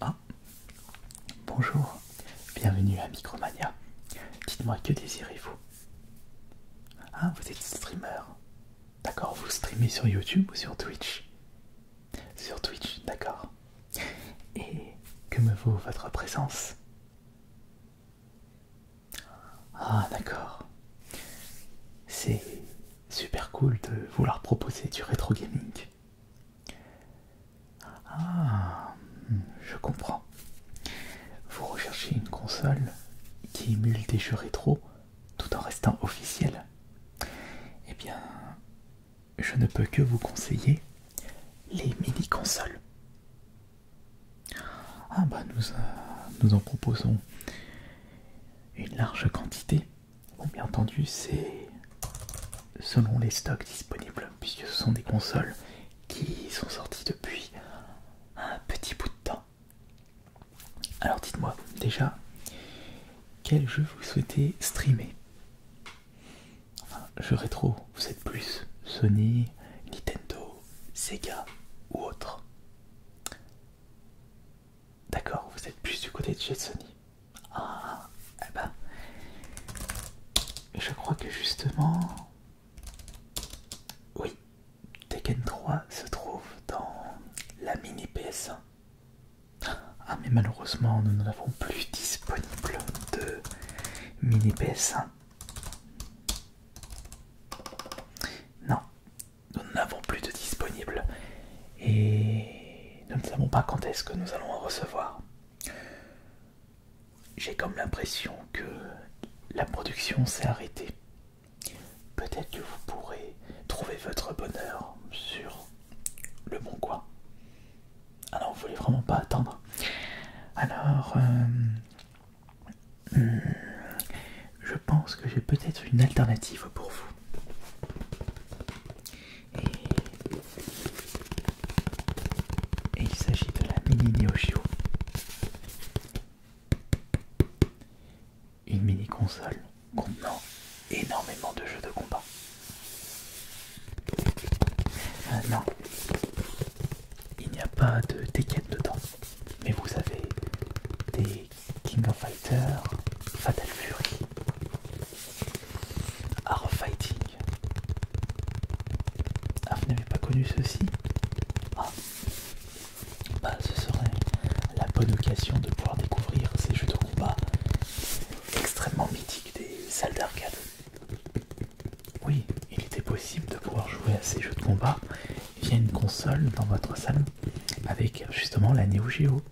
Ah. Bonjour, bienvenue à Micromania. Dites-moi que désirez-vous Ah, vous êtes streamer D'accord, vous streamez sur YouTube ou sur Twitch Sur Twitch, d'accord. Et que me vaut votre présence Ah, d'accord. C'est super cool de vouloir proposer du rétro gaming. Ah, je comprends. Vous recherchez une console qui émule des jeux rétro tout en restant officiel, eh bien, je ne peux que vous conseiller les mini-consoles. Ah bah nous, euh, nous en proposons une large quantité. bien entendu, c'est selon les stocks disponibles, puisque ce sont des consoles qui sont sorties depuis un petit bout de temps. Alors dites-moi déjà quel jeu vous souhaitez streamer Enfin, jeu rétro, vous êtes plus Sony, Nintendo, Sega ou autre D'accord, vous êtes plus du côté de chez Sony. Ah, eh ben, je crois que justement, oui, Tekken 3 se trouve dans la mini PS1. Ah mais malheureusement nous n'avons plus disponible de mini PS1. Non, nous n'en avons plus de disponible et nous ne savons pas quand est-ce que nous allons en recevoir. J'ai comme l'impression que la production s'est arrêtée. Peut-être que vous pourrez trouver votre bonheur sur le bon coin. Alors, vous voulez vraiment pas attendre. Alors, euh, hmm, je pense que j'ai peut-être une alternative pour vous. Et, il s'agit de la mini Neo une mini-console contenant énormément de jeux de combat. non, il n'y a pas de Tekken dedans, mais vous avez des King of Fighters, Fatal Fury, Art of Fighting. Ah, vous n'avez pas connu ceci Ah, bah, ce serait la bonne occasion de pouvoir découvrir ces jeux de combat extrêmement mythiques des salles d'arcade. Oui, il était possible de pouvoir jouer à ces jeux de combat via une console dans votre salle avec justement la Neo Geo.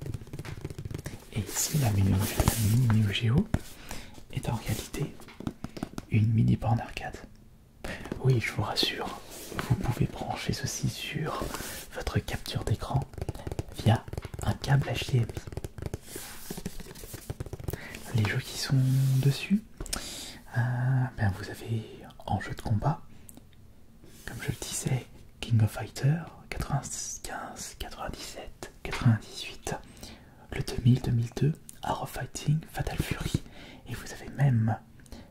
Et ici, la mini, Neo Geo est en réalité une mini borne arcade. Oui, je vous rassure, vous pouvez brancher ceci sur votre capture d'écran via un câble HDMI. Les jeux qui sont dessus, euh, ben vous avez en jeu de combat, comme je le disais, King of Fighter 95, 97, 98, le 2000, 2002, Arrow Fighting, Fatal Fury, et vous avez même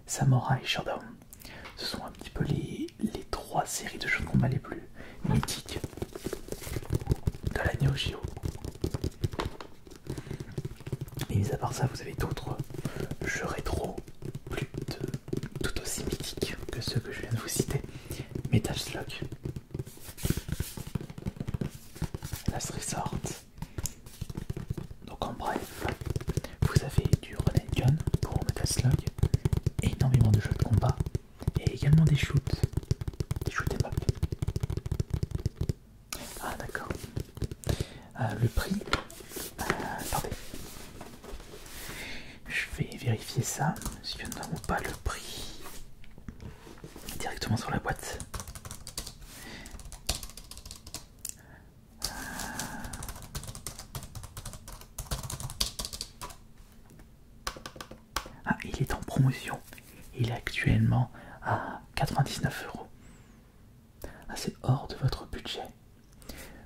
Samurai Shodown ce sont un petit peu les, trois séries de jeux de combat les plus mythiques de la Neo Geo. Et mis à part ça, vous avez d'autres jeux rétro plus tout aussi mythiques que ceux que je viens de vous citer. Metal Slug, Last Resort. Donc en bref, vous avez du René Gun pour Metal énormément de jeux de combat et également des shoots, des et Ah d'accord. Euh, le prix, euh, attendez, je vais vérifier ça si nous ou pas le prix directement sur la boîte. Euh, ah, il est en promotion. Il est actuellement à 99 euros. Ah, c'est hors de votre budget.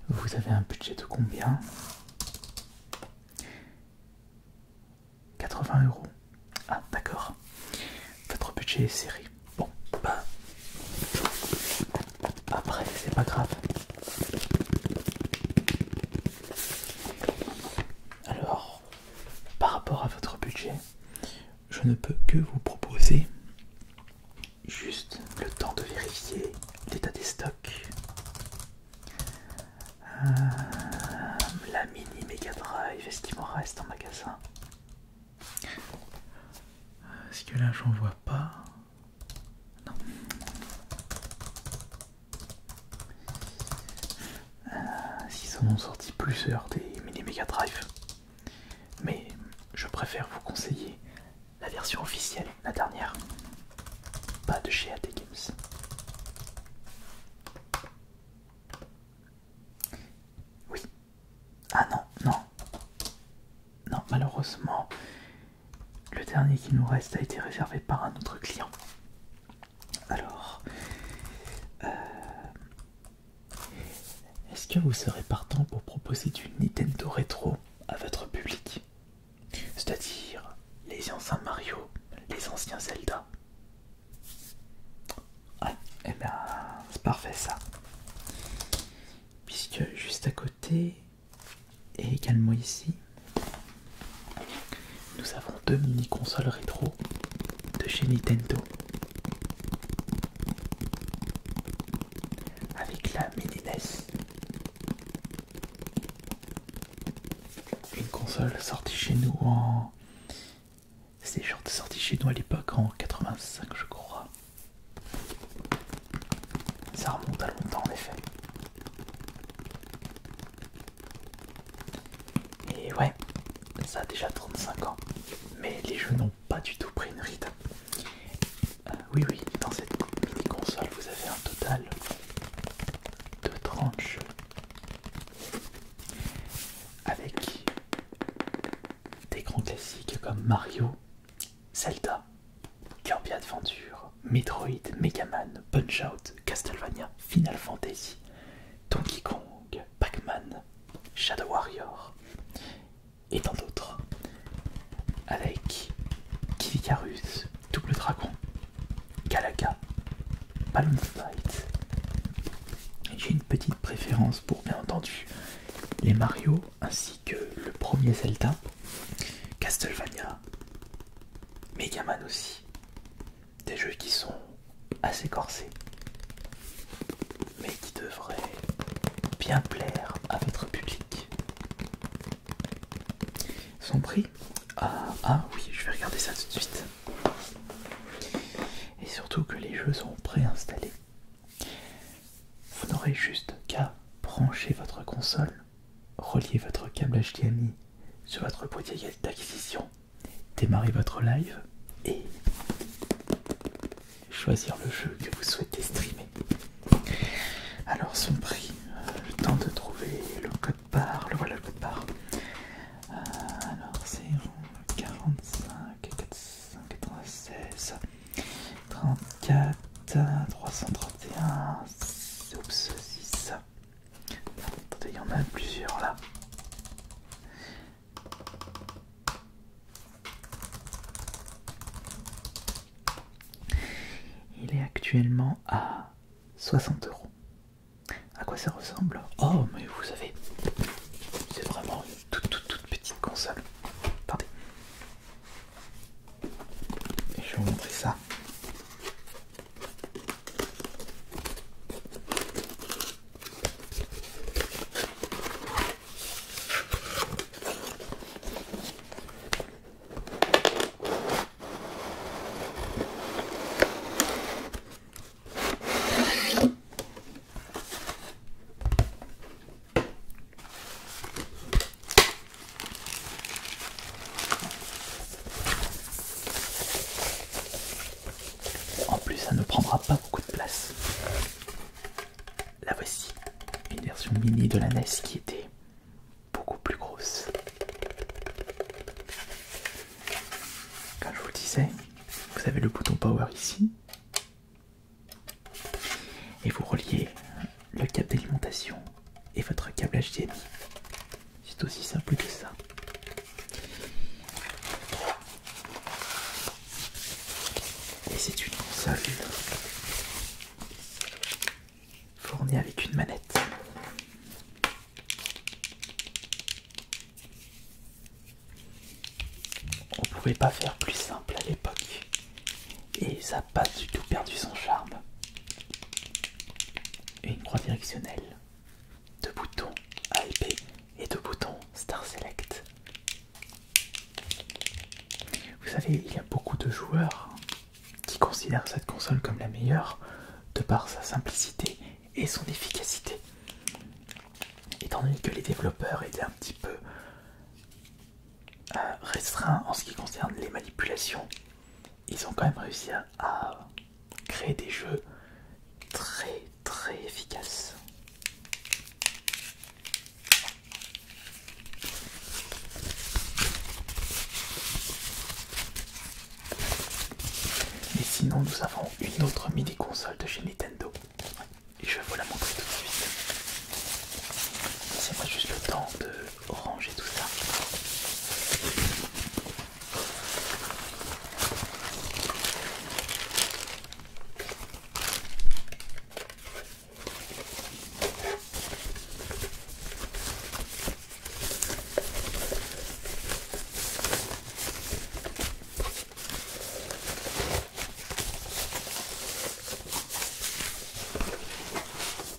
Vous avez un budget de combien 80 euros. Ah, d'accord. Votre budget est serré. Bon, bah, après, c'est pas grave. Alors, par rapport à votre budget, je ne peux que vous proposer juste le temps de vérifier l'état des stocks. Euh, la mini Mega Drive est-ce m'en reste en magasin. Est-ce euh, que là j'en vois pas non. Euh, S'ils en ont sorti plusieurs des mini Mega Drive, mais je préfère vous conseiller la version officielle, la dernière, pas de chez AT Games. Oui. Ah non, non. Non, malheureusement, le dernier qui nous reste a été réservé par un autre client. Alors, euh, est-ce que vous serez partant pour proposer du Nintendo rétro à votre public C'est-à-dire les anciens Mario, les anciens Zelda Ah, eh bien, c'est parfait ça. Puisque juste à côté, et également ici, nous avons deux mini consoles rétro de chez Nintendo. Avec la mini NES. Une console sortie chez nous en... C'est sortie chez nous à l'époque en 85 je crois. Ça remonte à longtemps en effet. Et ouais, ça a déjà 35 ans. Mais les jeux n'ont pas du tout pris une ride. Euh, oui, oui, dans cette mini-console, vous avez un total de 30 jeux. Avec des grands classiques comme Mario, Zelda, Kirby Adventure, Metroid, Megaman, Punch-Out, Castlevania, Final Fantasy, Donkey Kong, Pac-Man, Shadow Warrior et tant d'autres. Avec Kivikarus, Double Dragon, Galaga, Balloon Fight. J'ai une petite préférence pour bien entendu les Mario ainsi que le premier Zelda, Castlevania, Megaman aussi. Des jeux qui sont assez corsés, mais qui devraient bien plaire à votre public. Son prix ah, ah oui, je vais regarder ça tout de suite. Et surtout que les jeux sont préinstallés. Vous n'aurez juste qu'à brancher votre console reliez votre câble HDMI sur votre boîtier d'acquisition, démarrez votre live et choisir le jeu que vous souhaitez streamer. Alors son prix, le temps de trouver le code barre, le voilà le code barre. Euh, alors c'est 45 34, 331, oups, 6. Attendez, il y en a plusieurs là. Il est actuellement à 60 euros. À quoi ça ressemble Oh, mais vous savez, c'est vraiment une toute toute toute petite console. Attendez, je vais vous montrer ça. En plus, ça ne prendra pas beaucoup de place. La voici, une version mini de la NES qui était beaucoup plus grosse. Comme je vous le disais, vous avez le bouton Power ici et vous reliez le cap d'alimentation et votre câble HDMI. C'est aussi simple que ça. Et c'est une console fournie avec une manette. On pouvait pas faire plus simple à l'époque et ça n'a pas du tout perdu son charme. Et Une croix directionnelle, deux boutons A et B et deux boutons Star Select. Vous savez, il y a beaucoup de joueurs qui considèrent cette console comme la meilleure de par sa simplicité et son efficacité. Étant donné que les développeurs étaient un petit peu euh, restreints en ce qui concerne les manipulations, ils ont quand même réussi à, créer des jeux très très efficaces. Et sinon, nous avons une autre mini console de chez Nintendo. Et je vais vous la montrer tout de suite. Laissez-moi juste le temps de orange et tout ça.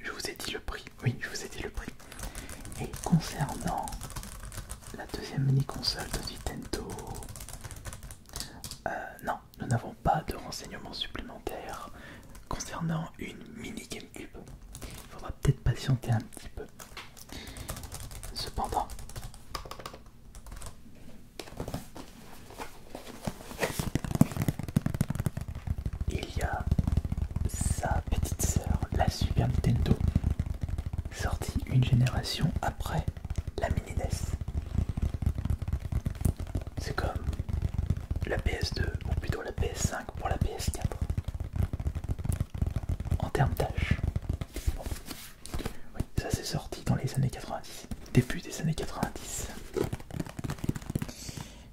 je vous ai dit le prix, oui, je vous ai dit le prix. Et concernant la deuxième mini-console de Nintendo, euh, non, nous n'avons pas de renseignements supplémentaires concernant une mini GameCube. Il faudra peut-être patienter un petit peu. Cependant, il y a sa petite sœur, la Super Nintendo, sortie une génération après la Mini e C'est comme la PS2, ou plutôt la PS5 pour la PS4. En termes d'âge. ça c'est sorti dans les années 90. Début des années 90.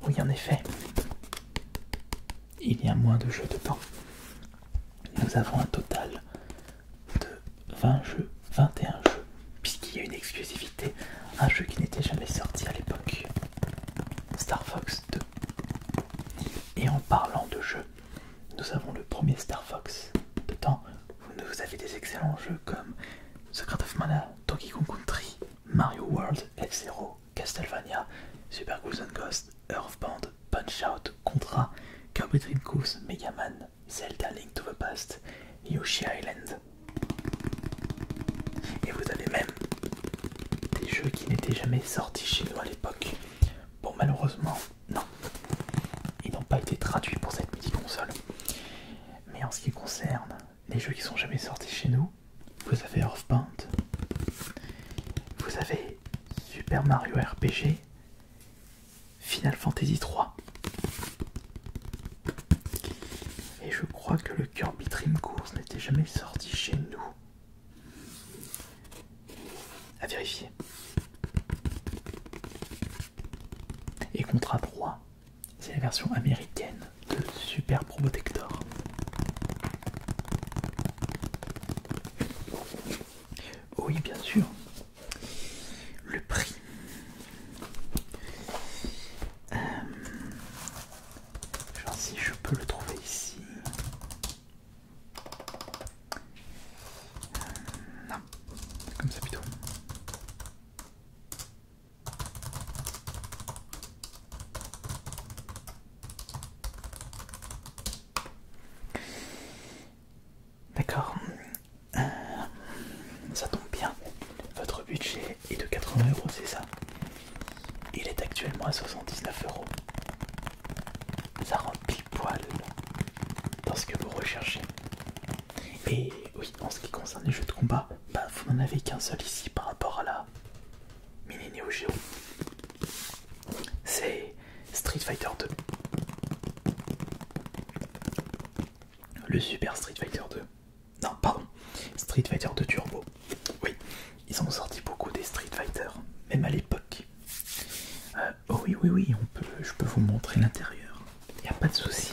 Oui, en effet, il y a moins de jeux de temps, Nous avons un total de 20 jeux, 21 jeux, puisqu'il y a une exclusivité, un jeu qui n'était jamais sorti à l'époque, Star Fox 2. Et en parlant de jeux, nous avons le premier Star Fox de temps, Vous avez des excellents jeux comme Secret of Mana, Donkey Kong Country, Mario World, F-Zero, Castlevania, Super Goose and Ghost, Band, Punch-Out, Contra, Kirby Dream Course, Mega Man, Zelda Link to the Past, Yoshi Island. Et vous avez même des jeux qui n'étaient jamais sortis chez nous à l'époque. Bon, malheureusement, non. Ils n'ont pas été traduits pour cette petite console Mais en ce qui concerne les jeux qui sont jamais sortis chez nous. Vous avez Earthbound vous avez Super Mario RPG, Final Fantasy 3. Et je crois que le Kirby Dream Course n'était jamais sorti chez nous. À vérifier. Et Contra 3, c'est la version américaine de super protecteur. Oui, bien sûr. Le prix. Euh, si je peux le trouver ici. Euh, non, comme ça plutôt. D'accord. Euh, ça tombe bien. Votre budget est de 80 euros, c'est ça Il est actuellement à 79 euros. Ça rend pile poil dans ce que vous recherchez. Et oui, en ce qui concerne les jeux de combat, bah, vous n'en avez qu'un seul ici par rapport à la mini Neo Geo, c'est Street Fighter 2. Le Super Street Fighter 2. Non, pardon, Street Fighter 2 Turbo. Oui, ils ont sorti beaucoup des Street Fighter, même à l'époque. Euh, oh oui, oui, oui, on peut, je peux vous montrer l'intérieur. Il a pas de souci.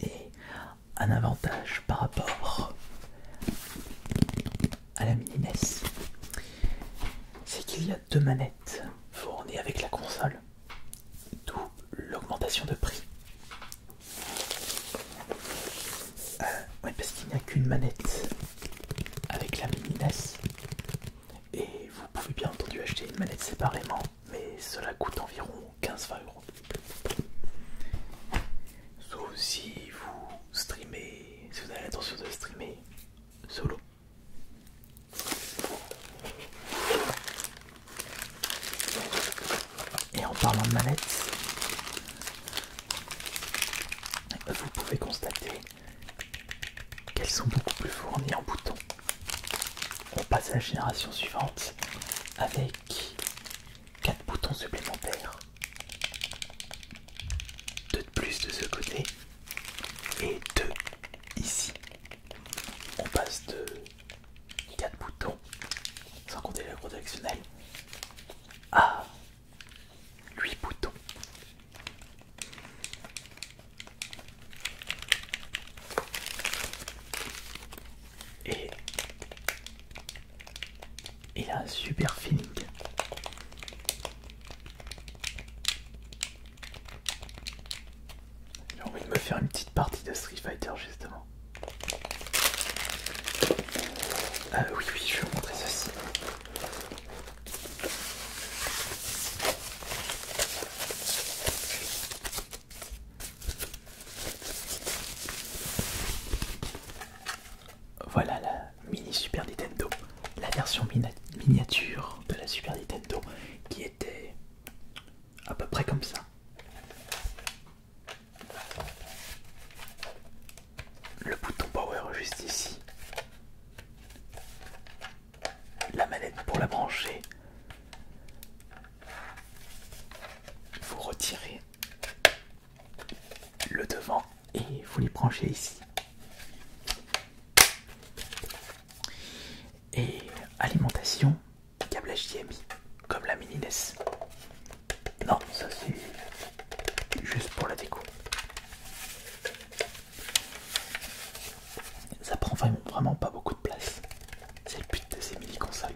Et un avantage par rapport à la mini c'est qu'il y a deux manettes fournies avec la console d'où l'augmentation de prix. Euh, parce qu'il n'y a qu'une manette avec la mini NES et vous pouvez bien entendu acheter une manette séparément, mais cela coûte environ 15-20 euros. Sauf si vous streamez, si vous avez l'intention de streamer solo. Et en parlant de manettes, vous pouvez constater qu'elles sont beaucoup plus fournies en boutons. On passe à la génération suivante avec 4 boutons supplémentaires. Deux de plus de ce côté et deux ici on passe de 4 boutons, sans compter gros directionnel, à 8 boutons. Et il a un super feeling. J'ai envie de me faire une petite partie de Street Fighter justement. Ah oui oui je vais vous montrer ceci. Voilà la mini Super Nintendo, la version miniature de la Super Nintendo qui était à peu près comme ça. Le bouton power juste ici. La manette pour la brancher. Vous retirez le devant et vous les branchez ici. Et alimentation câble HDMI, comme la mini NES. Non, ça c'est juste pour la déco. Ça prend vraiment, vraiment pas beaucoup de place. C'est le but de ces mini consoles.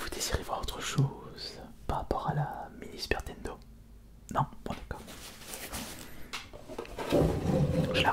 Vous désirez voir autre chose par rapport à la mini spertendo Non Bon d'accord. Je la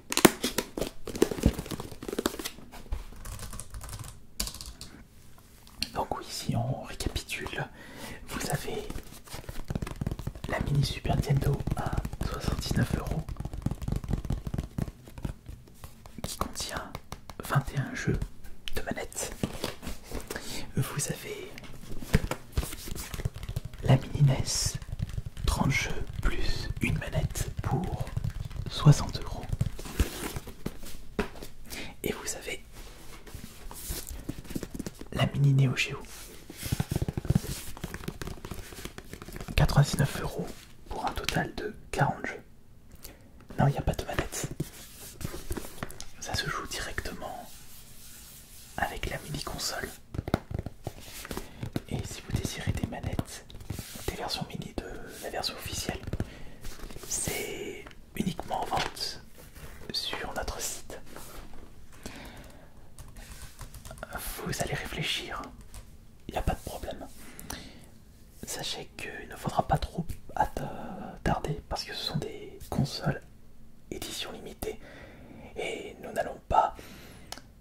Donc oui, si on récapitule, vous avez la mini Super Nintendo à 69 euros qui contient 21 jeux de manette. Vous avez la mini NES 30 jeux plus une manette pour 60 euros. Et vous avez la mini Neo Geo. 99 euros pour un total de 40 jeux. Non, il n'y a pas de manette. Ça se joue directement avec la mini console. Et si vous désirez des manettes, des versions mini de la version officielle. C'est uniquement en vente sur notre site. Vous allez réfléchir, il n'y a pas de problème. Sachez qu'il ne faudra pas trop tarder parce que ce sont des consoles édition limitée et nous n'allons pas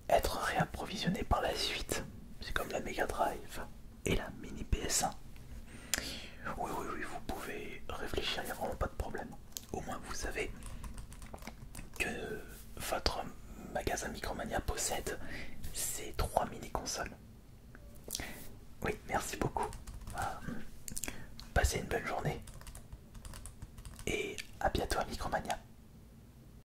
être réapprovisionné par la suite. C'est comme la Mega Drive et la Mini PS1. Oui, oui, oui, vous pouvez réfléchir, il n'y a vraiment pas de problème. Au moins, vous savez que votre magasin Micromania possède ces trois mini-consoles. Oui, merci beaucoup. Euh, passez une bonne journée et à bientôt à Micromania.